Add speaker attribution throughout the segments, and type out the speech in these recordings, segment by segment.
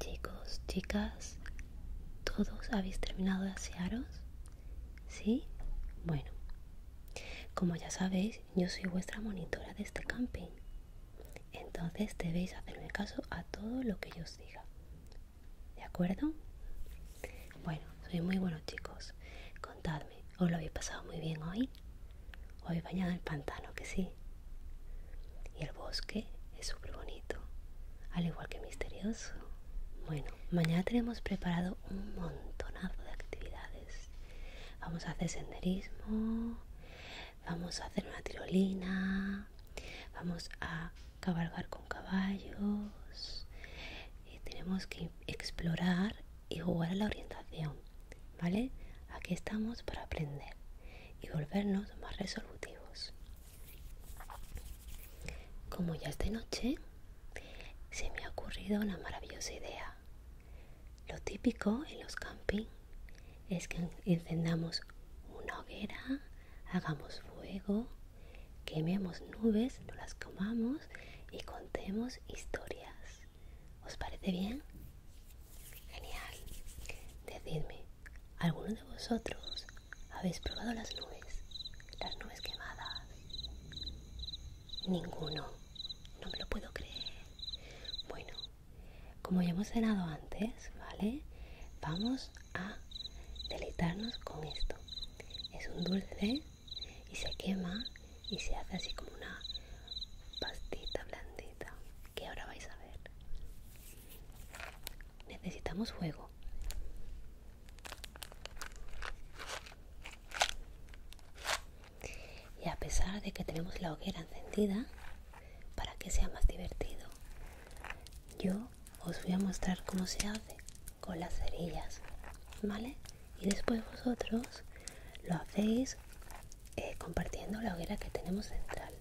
Speaker 1: Chicos, chicas, ¿todos habéis terminado de asearos? ¿Sí? Bueno, como ya sabéis, yo soy vuestra monitora de este camping entonces debéis hacerme caso a todo lo que yo os diga. ¿De acuerdo? Bueno, sois muy buenos chicos. Contadme, ¿os lo habéis pasado muy bien hoy? hoy habéis bañado el pantano? Que sí. Y el bosque es súper bonito, al igual que misterioso. Bueno, mañana tenemos preparado un montonazo de actividades. Vamos a hacer senderismo, vamos a hacer una tirolina, vamos a cabalgar con caballos y tenemos que explorar y jugar a la orientación, ¿vale? Aquí estamos para aprender y volvernos más resolutivos. Como ya es de noche, se me ha ocurrido una maravillosa idea. Lo típico en los campings es que encendamos una hoguera, hagamos fuego, quememos nubes, no las comamos y contemos historias. ¿Os parece bien? Genial. Decidme, ¿alguno de vosotros habéis probado las nubes? Las nubes quemadas. Ninguno. No me lo puedo creer. Bueno, como ya hemos cenado antes, ¿vale? Vamos a deleitarnos con esto. Es un dulce y se quema y se hace así como una pastita blandita que ahora vais a ver. Necesitamos fuego y a pesar de que tenemos la hoguera encendida para que sea más divertido yo os voy a mostrar cómo se hace con las cerillas vale y después vosotros lo hacéis eh, compartiendo la hoguera que tenemos central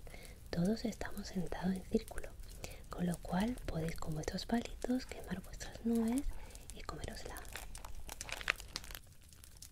Speaker 1: todos estamos sentados en círculo con lo cual podéis con vuestros palitos quemar vuestras nubes y comerosla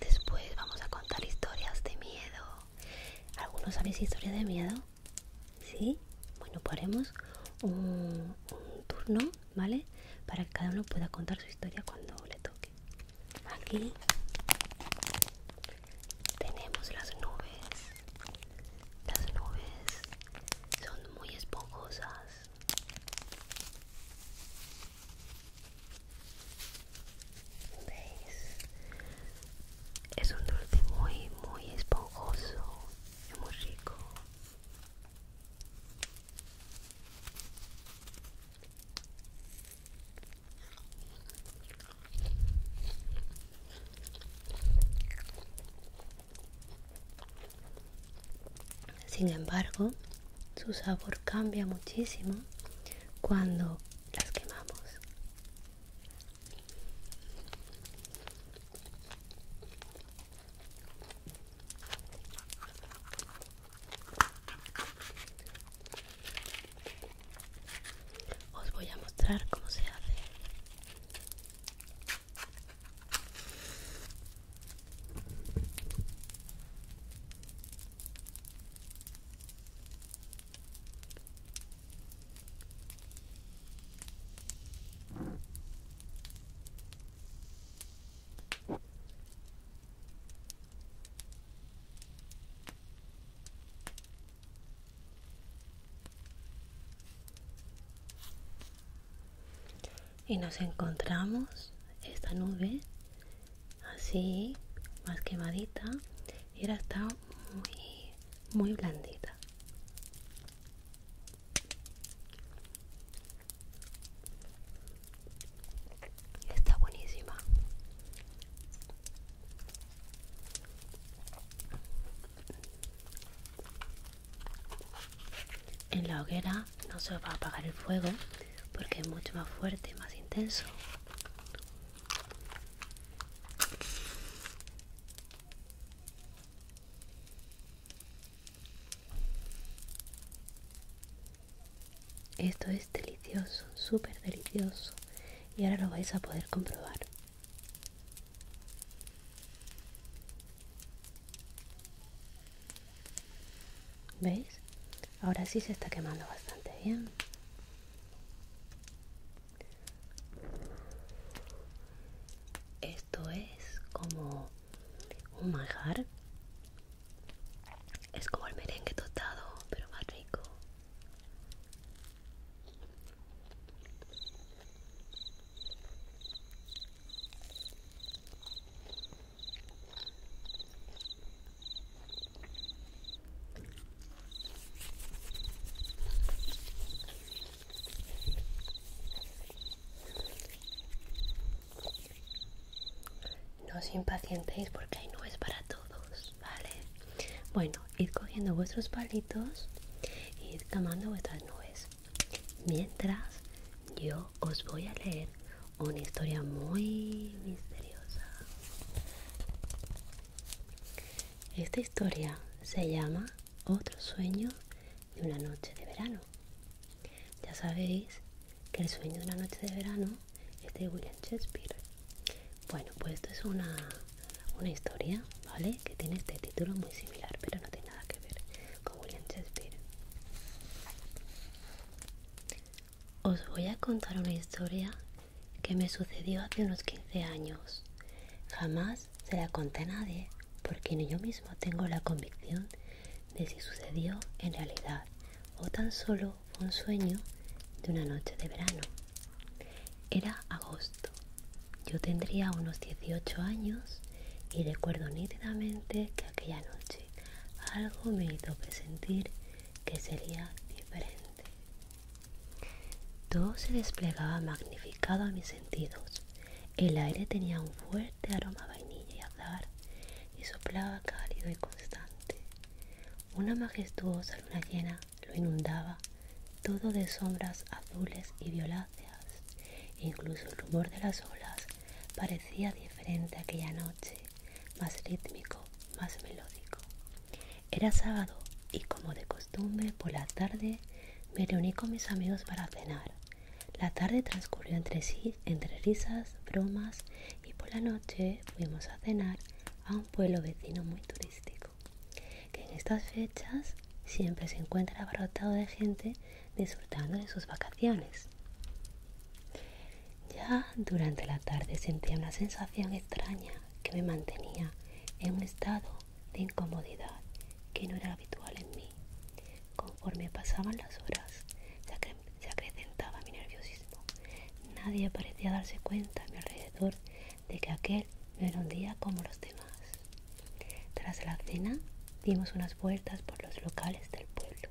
Speaker 1: Después vamos a contar historias de miedo. ¿Algunos sabéis historias de miedo? ¿Sí? Bueno, haremos un, un turno, ¿vale? Para que cada uno pueda contar su historia cuando le toque. Aquí tenemos las nubes. Las nubes son muy esponjosas. ¿Veis? Es un dulce muy, muy esponjoso y muy rico. Sin embargo, su sabor cambia muchísimo cuando las quemamos. Os voy a mostrar cómo se hace y nos encontramos esta nube así más quemadita y ahora está muy muy blandita Está buenísima. En la hoguera no se va a apagar el fuego porque es mucho más fuerte más intenso. Esto es delicioso, súper delicioso. Y ahora lo vais a poder comprobar. ¿Veis? Ahora sí se está quemando bastante bien. Esto es como un majar es como el merengue tostado, pero más rico. No os impacientéis porque hay nubes para todos, ¿vale? Bueno, ir cogiendo vuestros palitos y id vuestras nubes. Mientras yo os voy a leer una historia muy misteriosa. Esta historia se llama Otro sueño de una noche de verano. Ya sabéis que el sueño de una noche de verano es de William Shakespeare. Bueno, pues esto es una, una historia, ¿vale? Que tiene este título muy similar, pero no tiene nada que ver con William Shakespeare. Os voy a contar una historia que me sucedió hace unos 15 años. Jamás se la conté a nadie porque ni yo mismo tengo la convicción de si sucedió en realidad o tan solo fue un sueño de una noche de verano. Era agosto. Yo tendría unos 18 años y recuerdo nítidamente que aquella noche algo me hizo presentir que sería diferente. Todo se desplegaba magnificado a mis sentidos. El aire tenía un fuerte de aroma vainilla y azahar y soplaba cálido y constante. Una majestuosa luna llena lo inundaba, todo de sombras azules y violáceas. E incluso el rumor de las olas parecía diferente aquella noche, más rítmico, más melódico. Era sábado y como de costumbre por la tarde me reuní con mis amigos para cenar. La tarde transcurrió entre, sí, entre risas, bromas y por la noche fuimos a cenar a un pueblo vecino muy turístico, que en estas fechas siempre se encuentra abarrotado de gente disfrutando de sus vacaciones. Ya durante la tarde sentía una sensación extraña que me mantenía en un estado de incomodidad que no era habitual en mí. Conforme pasaban las horas, se, que acrecentaba mi nerviosismo. Nadie parecía darse cuenta a mi alrededor de que aquel no era un día como los demás. Tras la cena, dimos unas vueltas por los locales del pueblo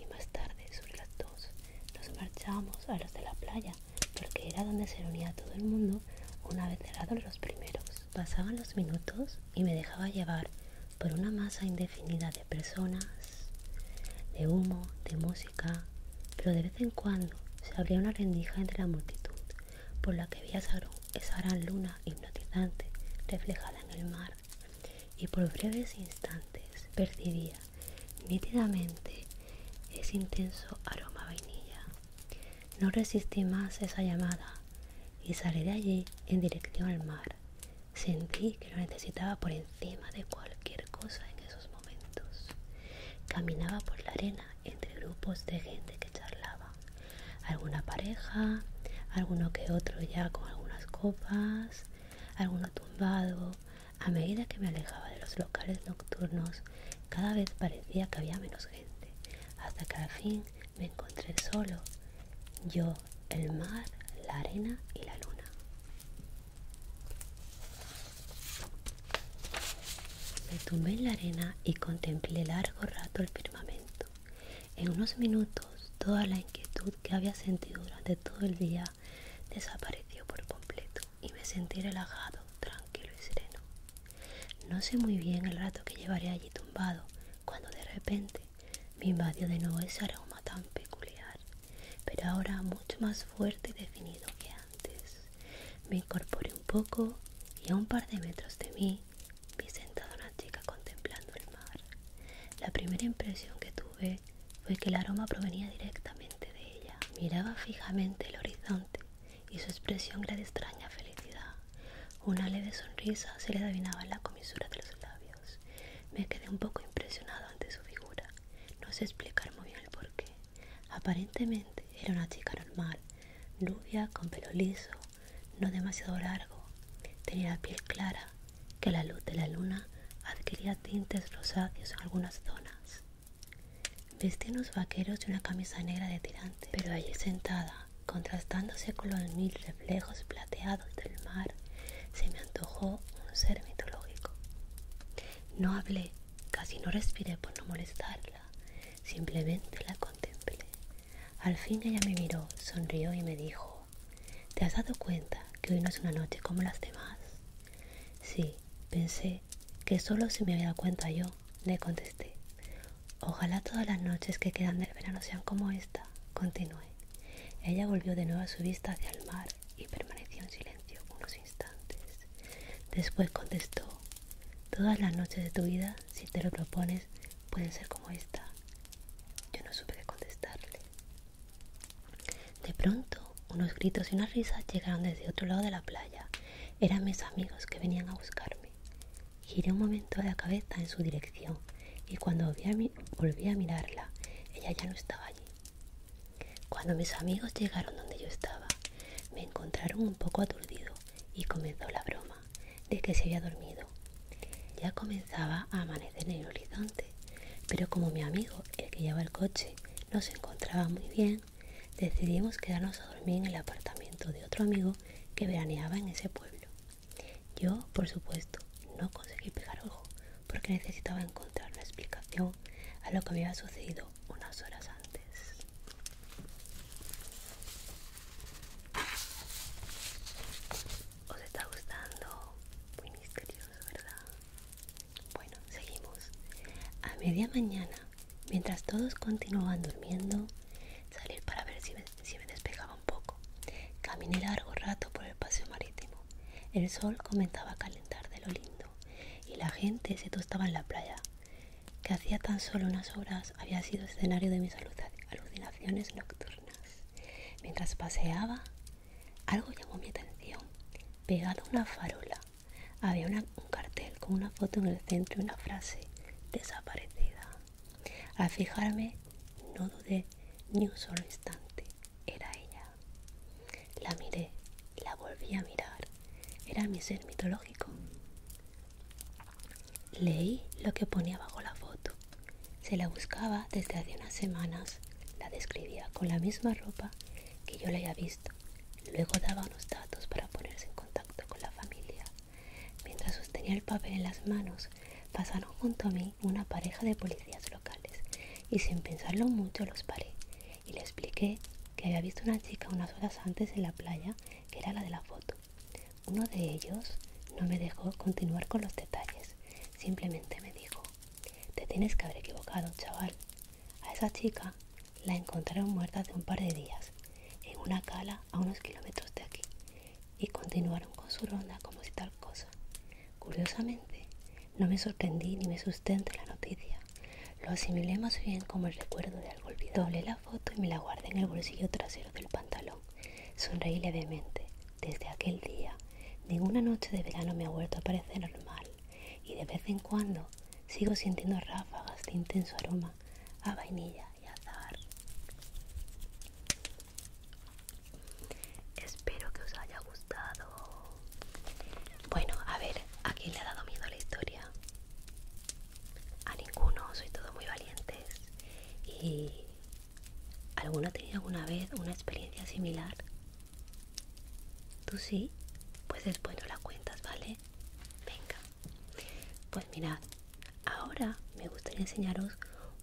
Speaker 1: y más tarde, sobre las dos, nos marchamos a los de la playa porque era donde se reunía todo el mundo una vez cerrados los primeros. Pasaban los minutos y me dejaba llevar por una masa indefinida de personas, de humo, de música, pero de vez en cuando se abría una rendija entre la multitud por la que veía esa gran luna hipnotizante reflejada en el mar y por breves instantes percibía nítidamente ese intenso aroma vainilla. No resistí más esa llamada y salí de allí en dirección al mar. Sentí que lo necesitaba por encima de cualquier cosa en esos momentos. Caminaba por la arena entre grupos de gente que charlaba. Alguna pareja, alguno que otro ya con algunas copas, alguno tumbado. A medida que me alejaba de los locales nocturnos, cada vez parecía que había menos gente, hasta que al fin me encontré solo, yo, el mar, la arena y la luna. Me tumbé en la arena y contemplé largo rato el firmamento. En unos minutos toda la inquietud que había sentido durante todo el día desapareció por completo y me sentí relajado, tranquilo y sereno. No sé muy bien el rato que llevaré allí tumbado, cuando de repente me invadió de nuevo ese aroma tan peculiar, pero ahora mucho más fuerte y definido que antes. Me incorporé un poco y a un par de metros de mí vi sentada una chica contemplando el mar. La primera impresión que tuve fue que el aroma provenía directamente de ella. Miraba fijamente el horizonte y su expresión era de extraña felicidad. Una leve sonrisa se le adivinaba en la comisura de los labios. Me quedé un poco impresionado ante su figura. No sé explicar muy bien el qué Aparentemente era una chica normal, rubia, con pelo liso, no demasiado largo. Tenía la piel clara, que la luz de la luna adquiría tintes rosáceos en algunas zonas. Vestía unos vaqueros y una camisa negra de tirante, pero allí sentada contrastándose con los mil reflejos plateados del mar, se me antojó un ser mitológico. No hablé, casi no respiré por no molestarla, simplemente la contemplé. Al fin ella me miró, sonrió y me dijo, ¿te has dado cuenta que hoy no es una noche como las demás? Sí, pensé que solo se me había dado cuenta yo, le contesté. Ojalá todas las noches que quedan del verano sean como esta, continué. Ella volvió de nuevo a su vista hacia el mar y permaneció en silencio unos instantes. Después contestó, todas las noches de tu vida, si te lo propones, pueden ser como esta. Yo no supe qué contestarle. De pronto, unos gritos y unas risas llegaron desde otro lado de la playa. Eran mis amigos que venían a buscarme. Giré un momento la cabeza en su dirección y cuando volví a, mirarla, ella ya no estaba allí. Cuando mis amigos llegaron donde yo estaba, me encontraron un poco aturdido y comenzó la broma de que se había dormido. Ya comenzaba a amanecer en el horizonte, pero como mi amigo, el que llevaba el coche, no se encontraba muy bien, decidimos quedarnos a dormir en el apartamento de otro amigo que veraneaba en ese pueblo. Yo, por supuesto, no conseguí pegar ojo porque necesitaba encontrar una explicación a lo que había sucedido unas horas antes. ¿Os está gustando? Muy misterioso, ¿verdad? Bueno, seguimos. A media mañana mientras todos continuaban durmiendo, salí para ver si me, despejaba un poco. Caminé largo rato por el paseo marítimo. El sol comenzaba a calentar de lo lindo y la gente se tostaba en la playa, que hacía tan solo unas horas había sido escenario de mis alucinaciones nocturnas. Mientras paseaba, algo llamó mi atención. Pegado a una farola había una, un cartel con una foto en el centro y una frase desaparecida. Al fijarme no dudé ni un solo instante. Era ella. La miré, la volví a mirar. Era mi ser mitológico. Leí lo que ponía bajo la foto. Se la buscaba desde hace unas semanas. La describía con la misma ropa que yo la había visto. Luego daba unos datos para ponerse en contacto con la familia. Mientras sostenía el papel en las manos, pasaron junto a mí una pareja de policías locales y sin pensarlo mucho los paré y le expliqué que había visto una chica unas horas antes en la playa que era la de la foto. Uno de ellos no me dejó continuar con los detalles, simplemente me dijo, te tienes que haber equivocado, chaval. A esa chica la encontraron muerta hace un par de días en una cala a unos kilómetros de aquí y continuaron con su ronda como si tal cosa. Curiosamente, no me sorprendí ni me sustente la noticia. Lo asimilé más bien como el recuerdo de algo olvidado. Doblé la foto y me la guardé en el bolsillo trasero del pantalón. Sonreí levemente. Desde aquel día, ninguna noche de verano me ha vuelto a parecer normal y de vez en cuando Sigo sintiendo ráfagas de intenso aroma a vainilla y azar. Espero que os haya gustado. Bueno, a ver, ¿a quién le ha dado miedo la historia? A ninguno, soy todo muy valientes. ¿Y alguno ha tenido alguna vez una experiencia similar? ¿Tú sí? Pues después nos la cuentas, ¿vale? Venga, pues mirad, ahora me gustaría enseñaros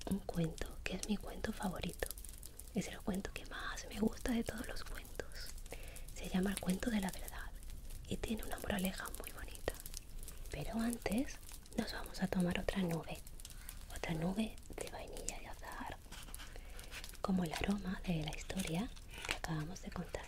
Speaker 1: un cuento que es mi cuento favorito. Es el cuento que más me gusta de todos los cuentos. Se llama el cuento de la verdad y tiene una moraleja muy bonita. Pero antes nos vamos a tomar otra nube. Otra nube de vainilla y azar, Como el aroma de la historia que acabamos de contar.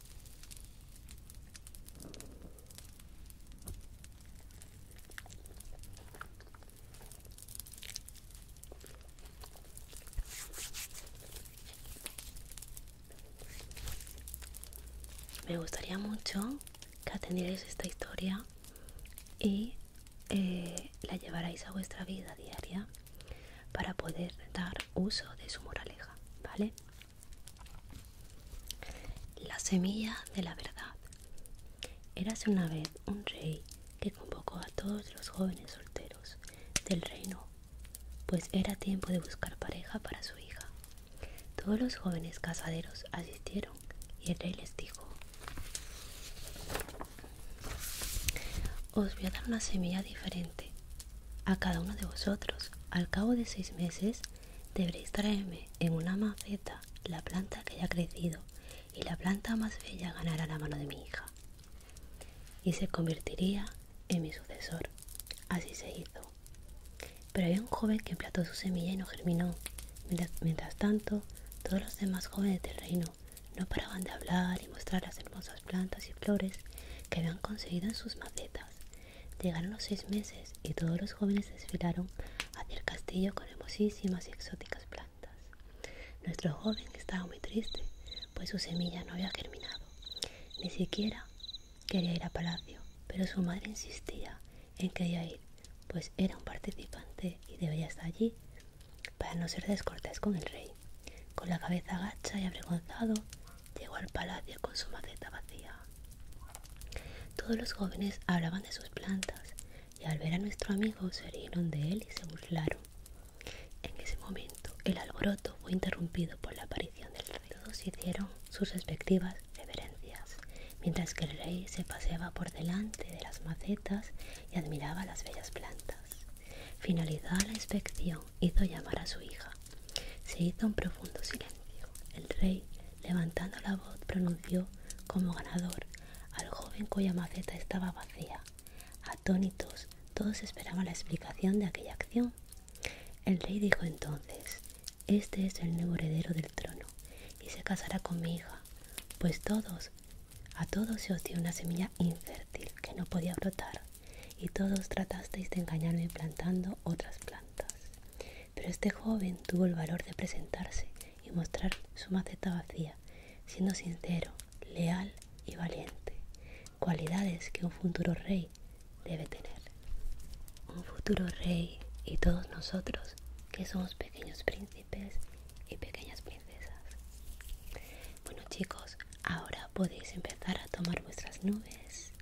Speaker 1: Me gustaría mucho que atendierais esta historia y eh, la llevarais a vuestra vida diaria para poder dar uso de su moraleja, ¿vale? La semilla de la verdad. Érase una vez un rey que convocó a todos los jóvenes solteros del reino, pues era tiempo de buscar pareja para su hija. Todos los jóvenes casaderos asistieron y el rey les dijo, os voy a dar una semilla diferente a cada uno de vosotros, al cabo de seis meses, deberéis traerme en una maceta la planta que haya crecido, y la planta más bella ganará la mano de mi hija. Y se convertiría en mi sucesor. Así se hizo. Pero había un joven que plantó su semilla y no germinó. mientras tanto, todos los demás jóvenes del reino no paraban de hablar y mostrar las hermosas plantas y flores que habían conseguido en sus macetas. Llegaron los seis meses y todos los jóvenes desfilaron hacia el castillo con hermosísimas y exóticas plantas. Nuestro joven estaba muy triste, pues su semilla no había germinado. Ni siquiera quería ir a palacio, pero su madre insistía en que ella ir, pues era un participante y debía estar allí para no ser descortés con el rey. Con la cabeza gacha y avergonzado, llegó al palacio con su maceta vacía. Todos los jóvenes hablaban de sus plantas y al ver a nuestro amigo se rieron de él y se burlaron. En ese momento el alboroto fue interrumpido por la aparición del rey. Todos hicieron sus respectivas reverencias, mientras que el rey se paseaba por delante de las macetas y admiraba las bellas plantas. Finalizada la inspección, hizo llamar a su hija. Se hizo un profundo silencio. El rey, levantando la voz, pronunció como ganador al joven cuya maceta estaba vacía. Atónitos, todos esperaban la explicación de aquella acción. El rey dijo entonces, este es el nuevo heredero del trono y se casará con mi hija, pues todos, a todos se oció una semilla infértil que no podía brotar y todos tratasteis de engañarme plantando otras plantas. Pero este joven tuvo el valor de presentarse y mostrar su maceta vacía, siendo sincero, leal y valiente, cualidades que un futuro rey debe tener. Un futuro rey y todos nosotros que somos pequeños príncipes y pequeñas princesas. Bueno chicos, Ahora podéis empezar a tomar vuestras nubes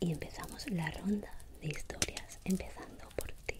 Speaker 1: y empezamos la ronda de historias empezando por ti.